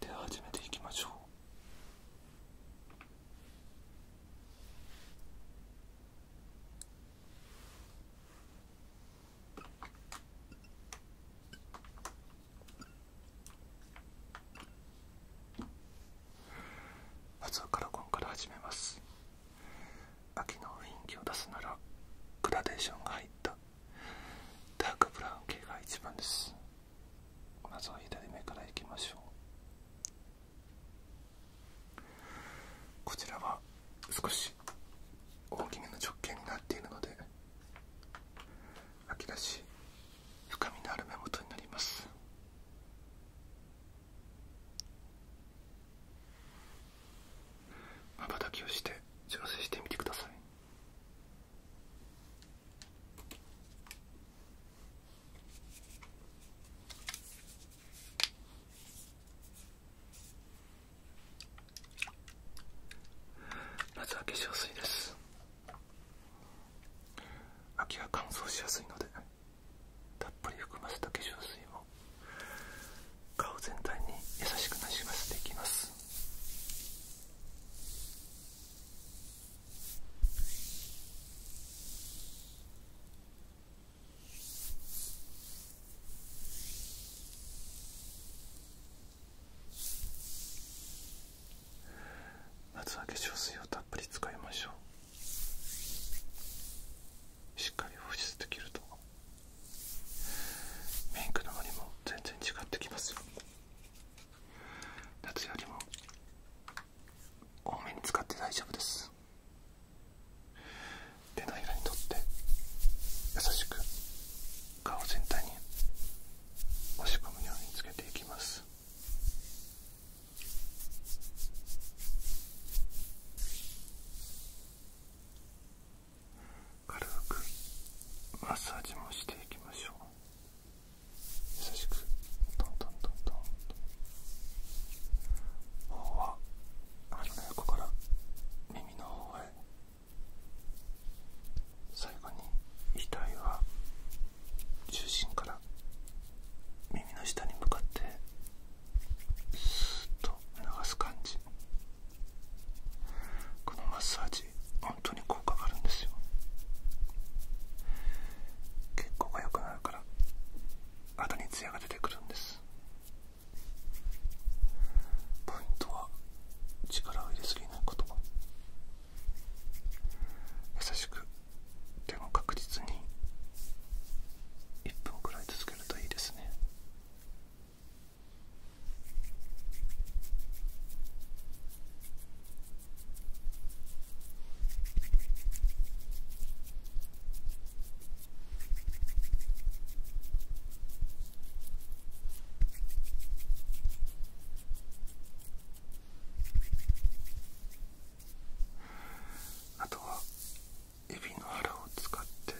では始めていきましょうまずはカラコンから始めます秋の雰囲気を出すならグラデーションが入ったダークブラウン系が一番ですまずは左目からいきましょうこちらは少し大きめの直径になっているので秋らしい深みのある目元になりますまばたきをして調整してみてくださいまは化粧水です秋は乾燥しやすいのでたっぷり含ませた化粧水を顔全体に優しくなじませていきます夏は化粧水をたっぷり使いましょうしっかり保湿できるとメイクののりも全然違ってきますよ夏よりも多めに使って大丈夫です手のひにとって優しく顔全体に押し込むようにつけていきます軽くマッサージもしていきましょう。優しくトントントントンと頬は鼻の横から耳の方へ最後に遺体は中心から耳の下に向かってスーと流す感じこのマッサージ本当に効果があるんですよ血行が良くなるから肌にツヤが出てくるんですポイントは力を入れすぎないこと優しくでも確実に1分くらい続けるといいですねあとはエビの腹を使って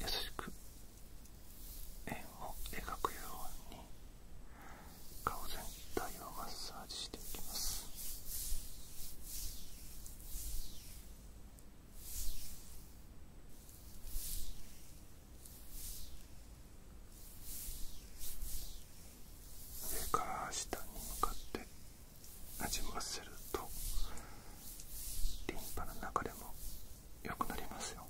優しく円を描くように顔全体をマッサージしていきます上から下に向かってなじませるとリンパの流れも良くなりますよ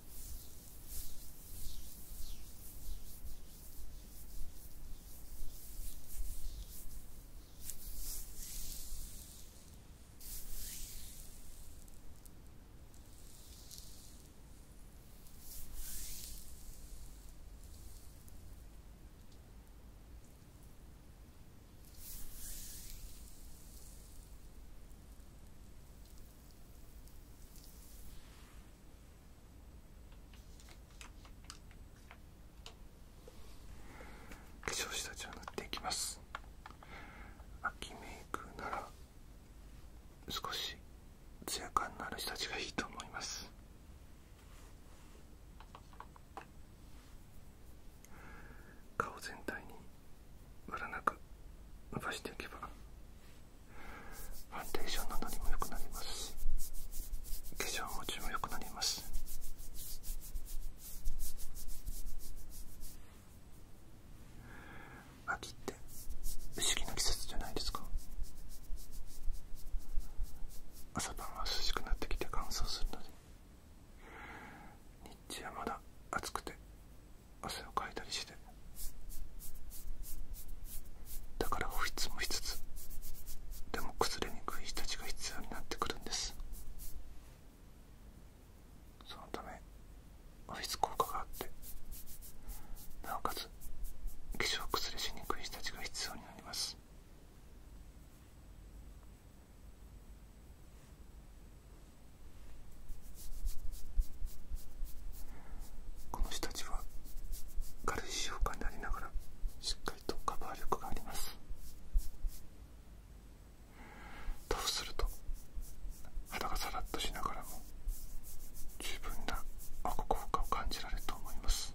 化粧下地を塗っていきます秋メイクなら少しツヤ感のある下地がいいと思います顔全体にムラなく伸ばしていけばファンデーションなのにも良くなりますし化粧持ちも良くなります秋って不思議な季節じゃないですか朝晩は涼しくなってきて乾燥するのに。日中はまだ暑くて汗をかいたりしてだからオフィスもしつつでも崩れにくい人たちが必要になってくるんですそのためオフィス効果があってなおかつ化粧崩れしにくい人たちが必要になりますこの人たちは軽い使用感でありながらしっかりとカバー力がありますとすると肌がさらっとしながらも十分な保護効果を感じられると思います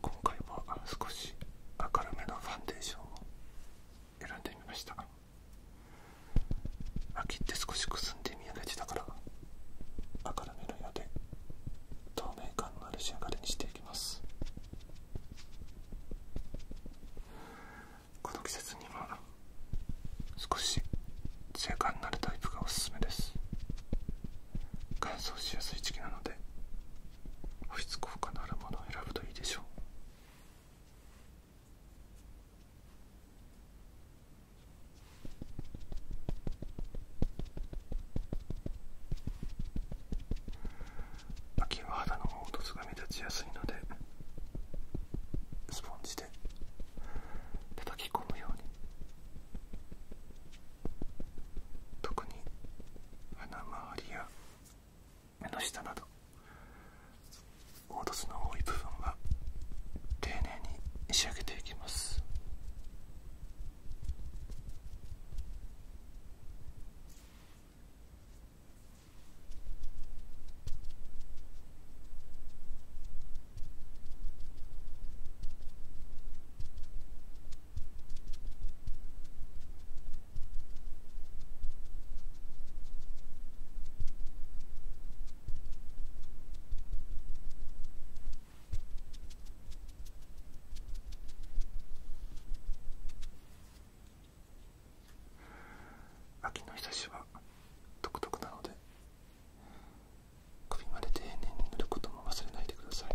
今回は少し明るめのファンデーションを選んでみました。秋って少しくすんで見えがちだから明るめの色で透明感のある仕上がりにしていきますこの季節には少しツヤ感のあるタイプがおすすめです乾燥しやすい時期なので保湿効果のあるものを選ぶといいでしょう秋は肌の凹凸が目立ちやすいのでスポンジで叩き込むように特に鼻周りや目の下など凹凸の多い部分は丁寧に仕上げていきます秋の日差しは独特なので首まで丁寧に塗ることも忘れないでください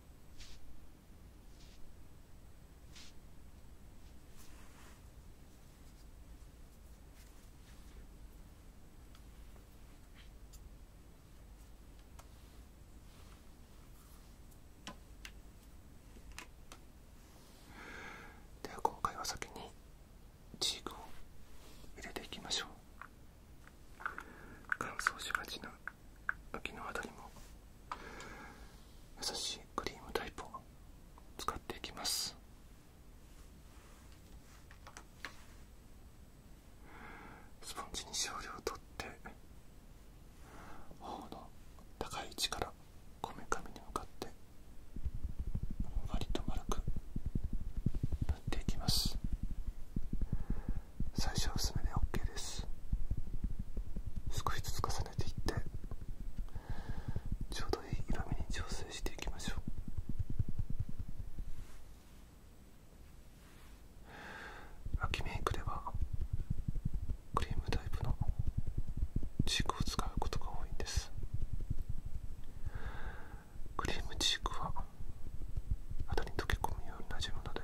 では今回は先にチークを入れていきましょう乾燥しがちな脇のあたりも優しいクリームタイプを使っていきますスポンジに少量取って頬の高い位置からこめかみに向かってりと丸く塗っていきます最初は薄めで OK です少しずつ重ねていってちょうどいい色味に調整していきましょう秋メイクではクリームタイプのチークを使うことが多いんですクリームチークは肌に溶け込むようになじむので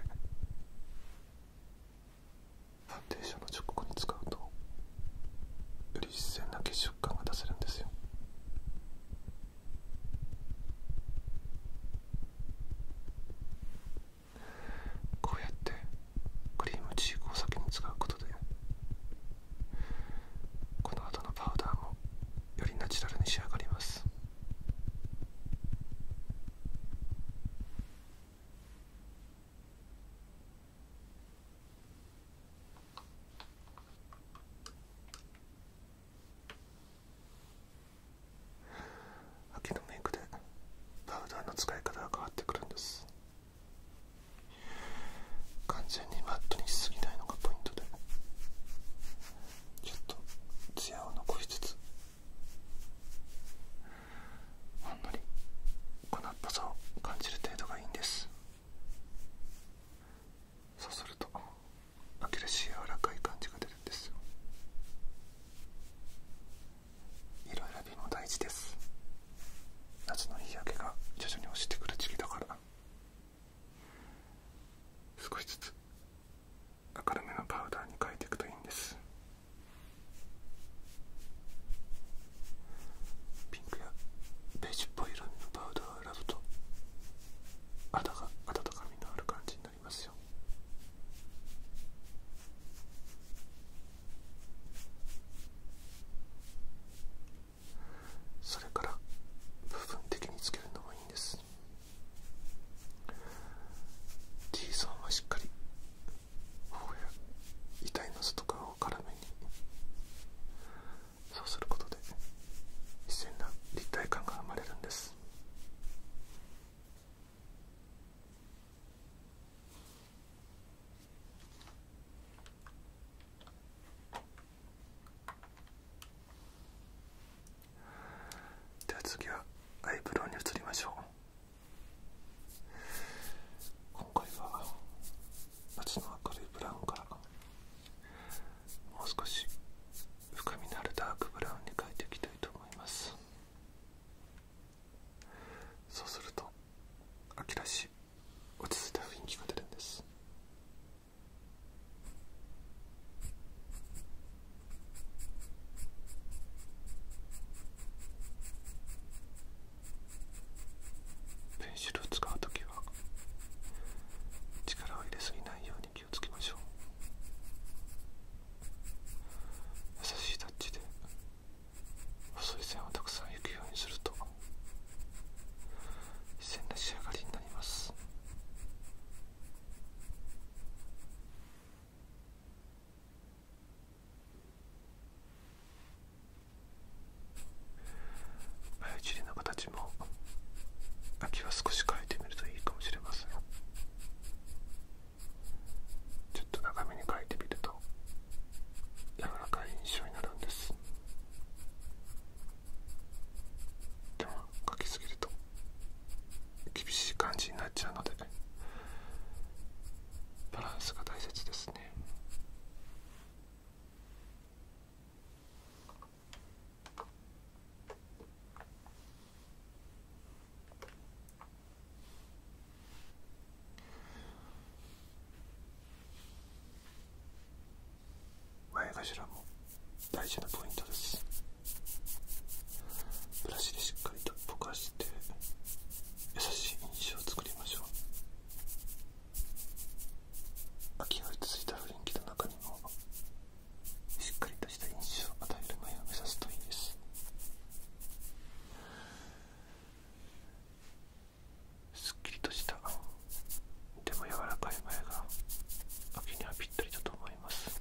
ファンデーションの直後に使うとより自然な血色感が出せるんですよこうやってクリームチークを先に使うことでこの後のパウダーもよりナチュラルに仕上がります秋のメイクでパウダーの使い方が変わってくるんです完全にマットにしすぎないのがポイントでちょっとツヤを残しつつほんのり粉っぽさを感じる程度がいいんですそうすると秋らしい柔らかい感じが出るんです色選びも大事です夏の日焼けが徐々に落ちてくる時期だから少しずつ明るめのパウダーに変えていくといいんですピンクやベージュっぽい色味のパウダーを選ぶと肌が温かみのある感じになりますよそれから部分的につけるのもいいんです T さんはしっかり頬や遺体の外側を絡めにそうすることで自然な立体感が生まれるんですでは次はアイブロウに移りましょう今回は夏の明るいブラウンからもう少し深みのあるダークブラウンに変えていきたいと思いますそうすると秋らしい落ち着いた雰囲気が出るんですペンシルを使う時は力を入れすぎないように気をつけましょう優しいタッチで細い線をたくさん行くようにすると自然な仕上がりになります眉尻の形も秋は少し変えてみるといいかもしれませんちょっと長めに描いてみると柔らかい印象になるんですでも描きすぎると厳しい感じになっちゃうのでバランスが大切ですね前頭も大事なポイントですブラシでしっかりとぼかして優しい印象を作りましょう秋が落ち着いた雰囲気の中にもしっかりとした印象を与える前を目指すといいですすっきりとしたでも柔らかい前が秋にはぴったりだと思います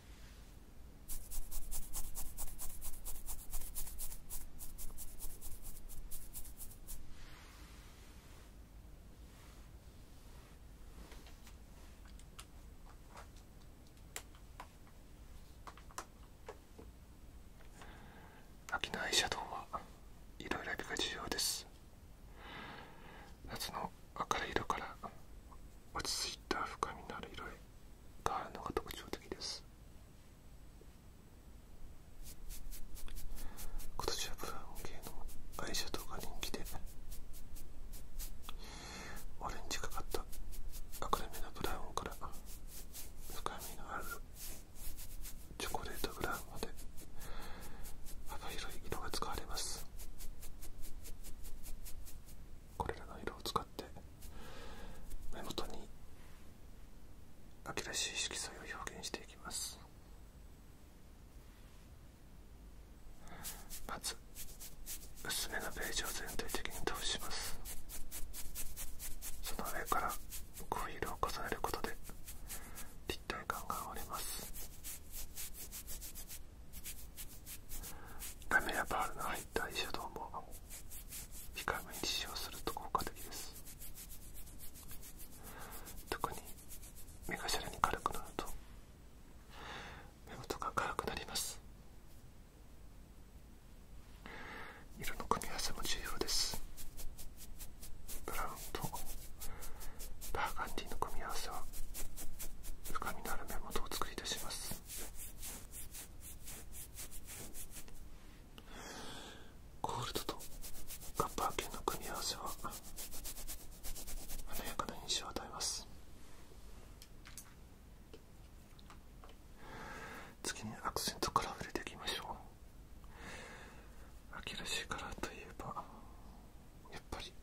秋のアイシャドウはいろいろ選びが重要です夏の明るい色から落ち着いた深みのある色があるのが特徴的です今年はブラウン系のアイシャドウが人気でオレンジがかった明るめのブラウンから深みのあるチョコレートブラウンまで幅広い色が使われますこれらの色を使って目元に秋らしい色彩を表現していきますまず薄めのベージュを全体的に通しますその上からこうい色を重ねることで立体感が生まれますラメやパールの入ったアイシャドウも控えめに使用すると効果的です特に目がシに軽くなると目元が軽くなります色の組み合わせも重要ですブラウンとバーガンディの組み合わせは深みのある目元を使ゴールドとカッパー系の組み合わせは華やかな印象を与えます次にアクセントから触れていきましょう秋らしいカラーといえばやっぱり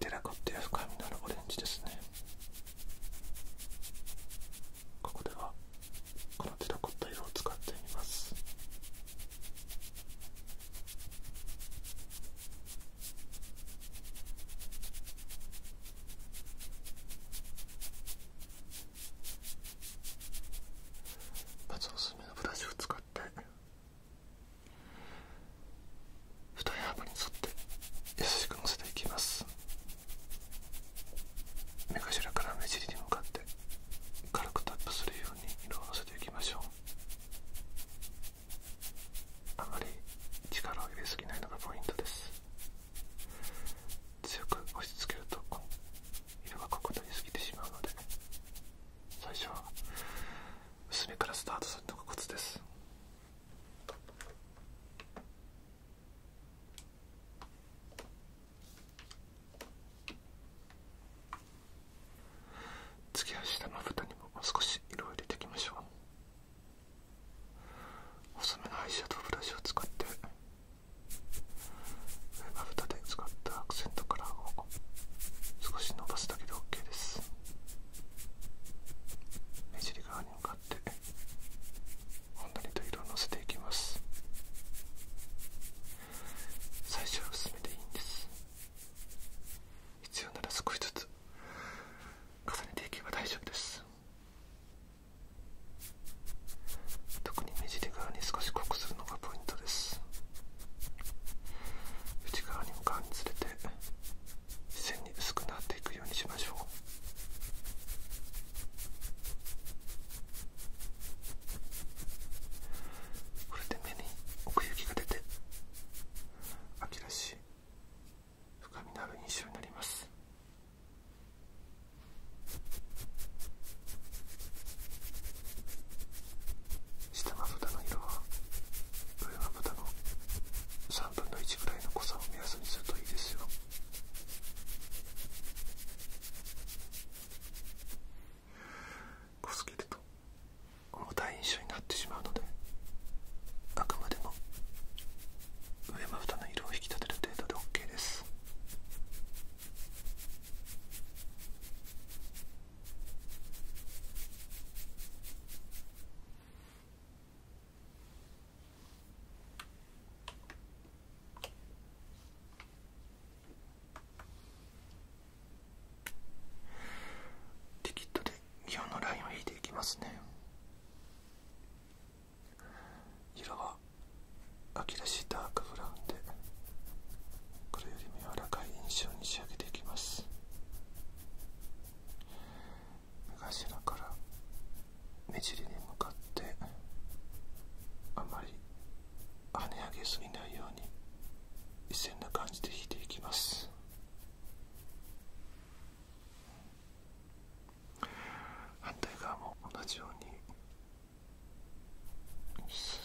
出なかった深みのあるオレンジですねここではこのテラコッタ色を使ってみますまずおすすめのブラシを使って二重幅に沿って優しくのせていきます目頭から目尻に向かって軽くタップするように色をのせていきましょうあまり力を入れすぎないのがポイントです強く押し付けると色が濃くなりすぎてしまうので最初は薄めからスタートするのがコツです次は下の蓋にも少し色を入れていきましょう細めのアイシャドウブラシを使って上まぶたで使ったアクセントカラーを少し伸ばすだけで OK です目尻側に向かってほんのりと色をのせていきます最初は薄めでいいんです必要なら少しずつ重ねていけば大丈夫です特に目尻側に少し濃くするのがポイントです内側に向かうにつれて線に薄くなっていくようにしましょうこれで目に奥行きが出て秋らしい深みのある印象になります下まぶたの色は分は豚の3分の1ぐらいの濃さを目安にするといいですよ濃すぎると重たい印象になってしまうのであくまでも上まぶたの色を引き立てる程度で OK ですリキッドで基本のラインを引いていきますね色は秋らしいダークブラウンでこれよりも柔らかい印象に仕上げていきます目頭から目尻に向かってあまり跳ね上げすぎないように一線な感じで引いていきます反対側も同じようにスッス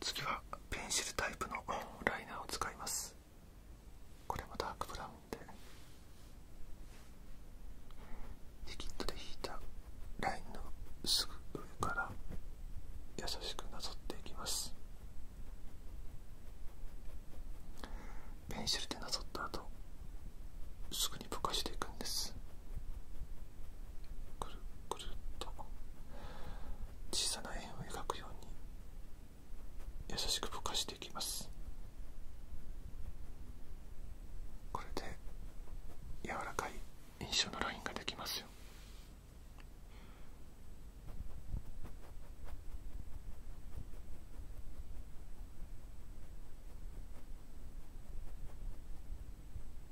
次はペンシルタイプのライナーを使いますこれもダークブラウンでリキッドで引いたラインのすぐ上から優しくなぞっていきますペンシルでなぞった後すぐにぼかしていくんですくるくるっと小さな円を描くように優しくぼかしていきますこれで柔らかい印象のラインができますよ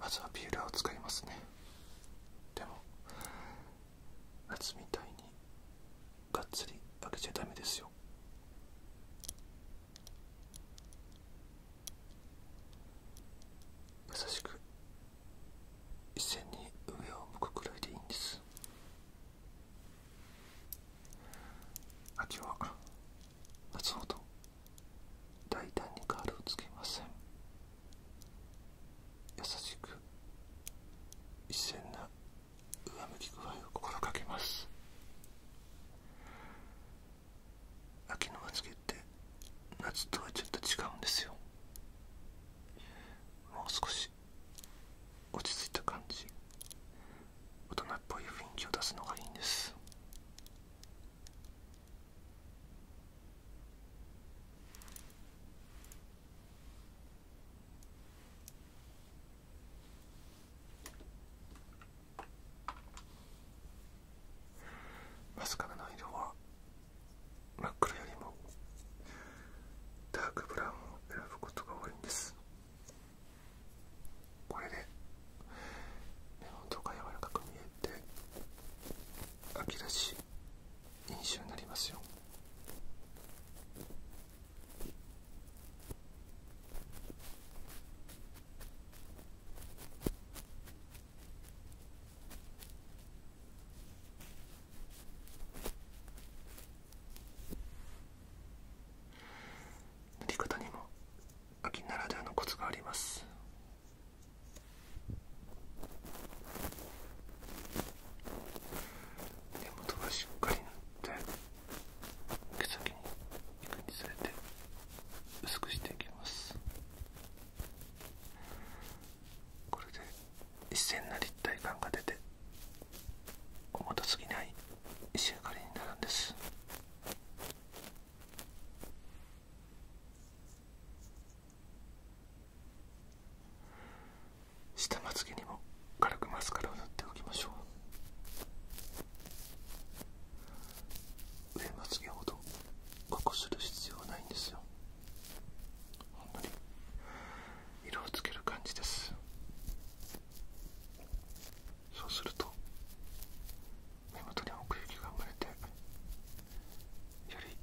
まずはビーラーを使いますねでも夏みたいにがっつり開けちゃダメですよ優しく一線に上を向くくらいでいいんです秋は夏ほど大胆にカールをつけません優しく一線な上向き具合を心がけます秋のま付けって夏とはちょっと違うんですよもう少し落ち着いた感じ大人っぽい雰囲気を出すのがいいんですマスカラの色は真っ黒よりもダークブラウンを選ぶことが多いんですこれで目元が柔らかく見えて秋らしい印象になりますよ塗り方にも秋ならではのコツがあります根元がしっかり塗って毛先にいくにつれて薄くしていきますこれで一線な立体感が出て小元すぎない石明かりになるんです下まつげにも軽くマスカラを塗っておきましょう上まつげほど濃くする必要はないんですよほんのり色をつける感じですそうすると目元に奥行きが生まれてより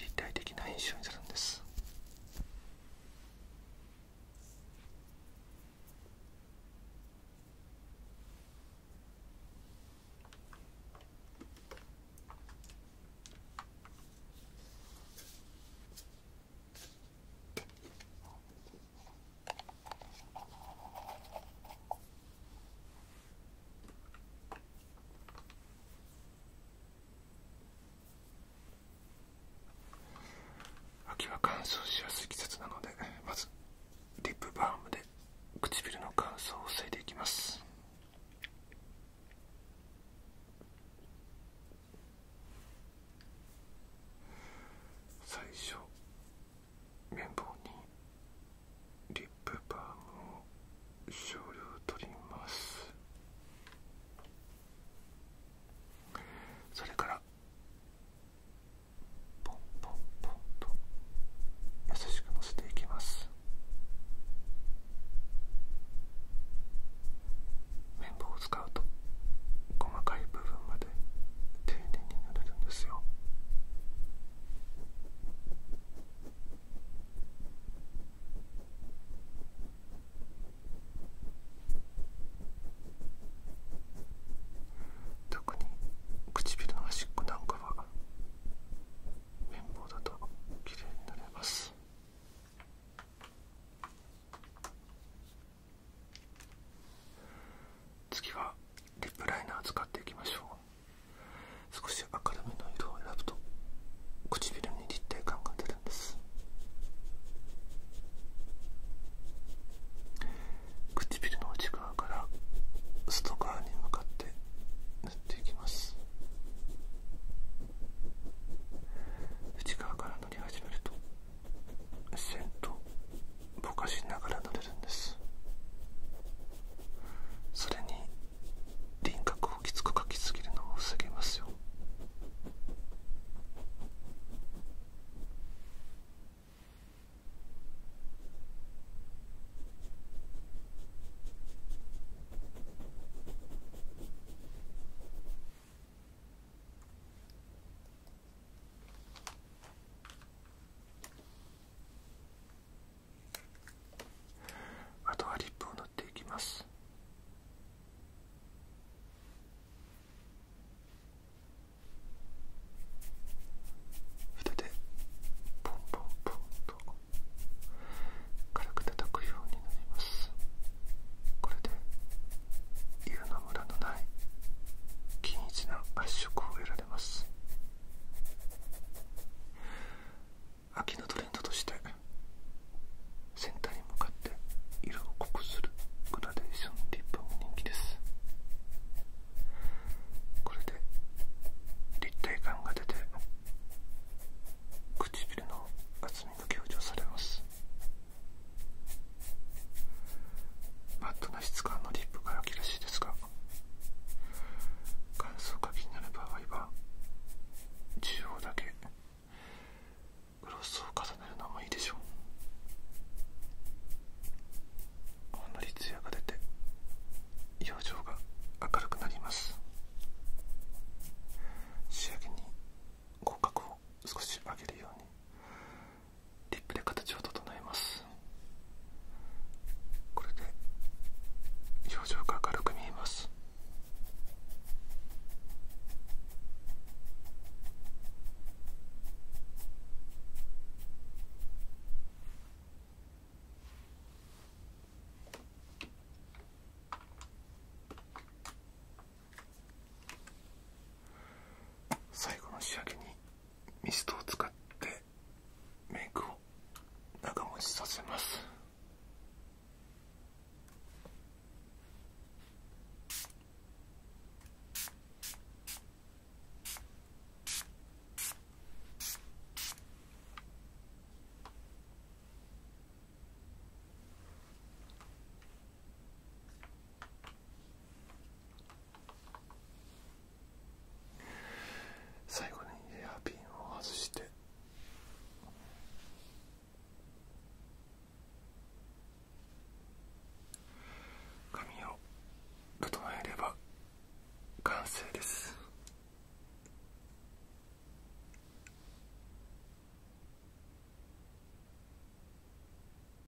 立体的な印象になるんです秋は乾燥しやすい季節なのでまずリップバームで唇の乾燥を防いでいきます最初綿棒にリップバームを少量取りますそれからポンポンポンと優しくのせていきます綿棒を使うと細かい部分まで丁寧に塗れるんですよ特に唇の端っこなんかは綿棒だと綺麗に塗れます次はリップライナー使っていきましょう少し明るめの色を選ぶと唇に立体感が出るんです唇の内側から外側に向かって塗っていきます内側から塗り始めると線とぼかしながら乗れるんですそれに輪郭をきつく描きすぎるのも防げますよあとはリップを塗っていきます筆でポンポンポンと軽く叩くようになりますこれで色のムラのない均一な発色を得られます秋のトレンドとして先端に向かって色を濃くするグラデーションリップも人気ですこれで立体感が出て唇の厚みが強調されますマットな質感のリップが良きらしいですが乾燥が気になる場合は中央だけグロスを重ねるのもいいでしょうほんのりツヤが出て表情が明るくなります仕上げに口角を少し曲げるようにリップで形を整えますこれで表情が明るく見えます最後の仕上げにミストを使ってメイクを長持ちさせます最後にヘアピンを外して髪を整えれば完成です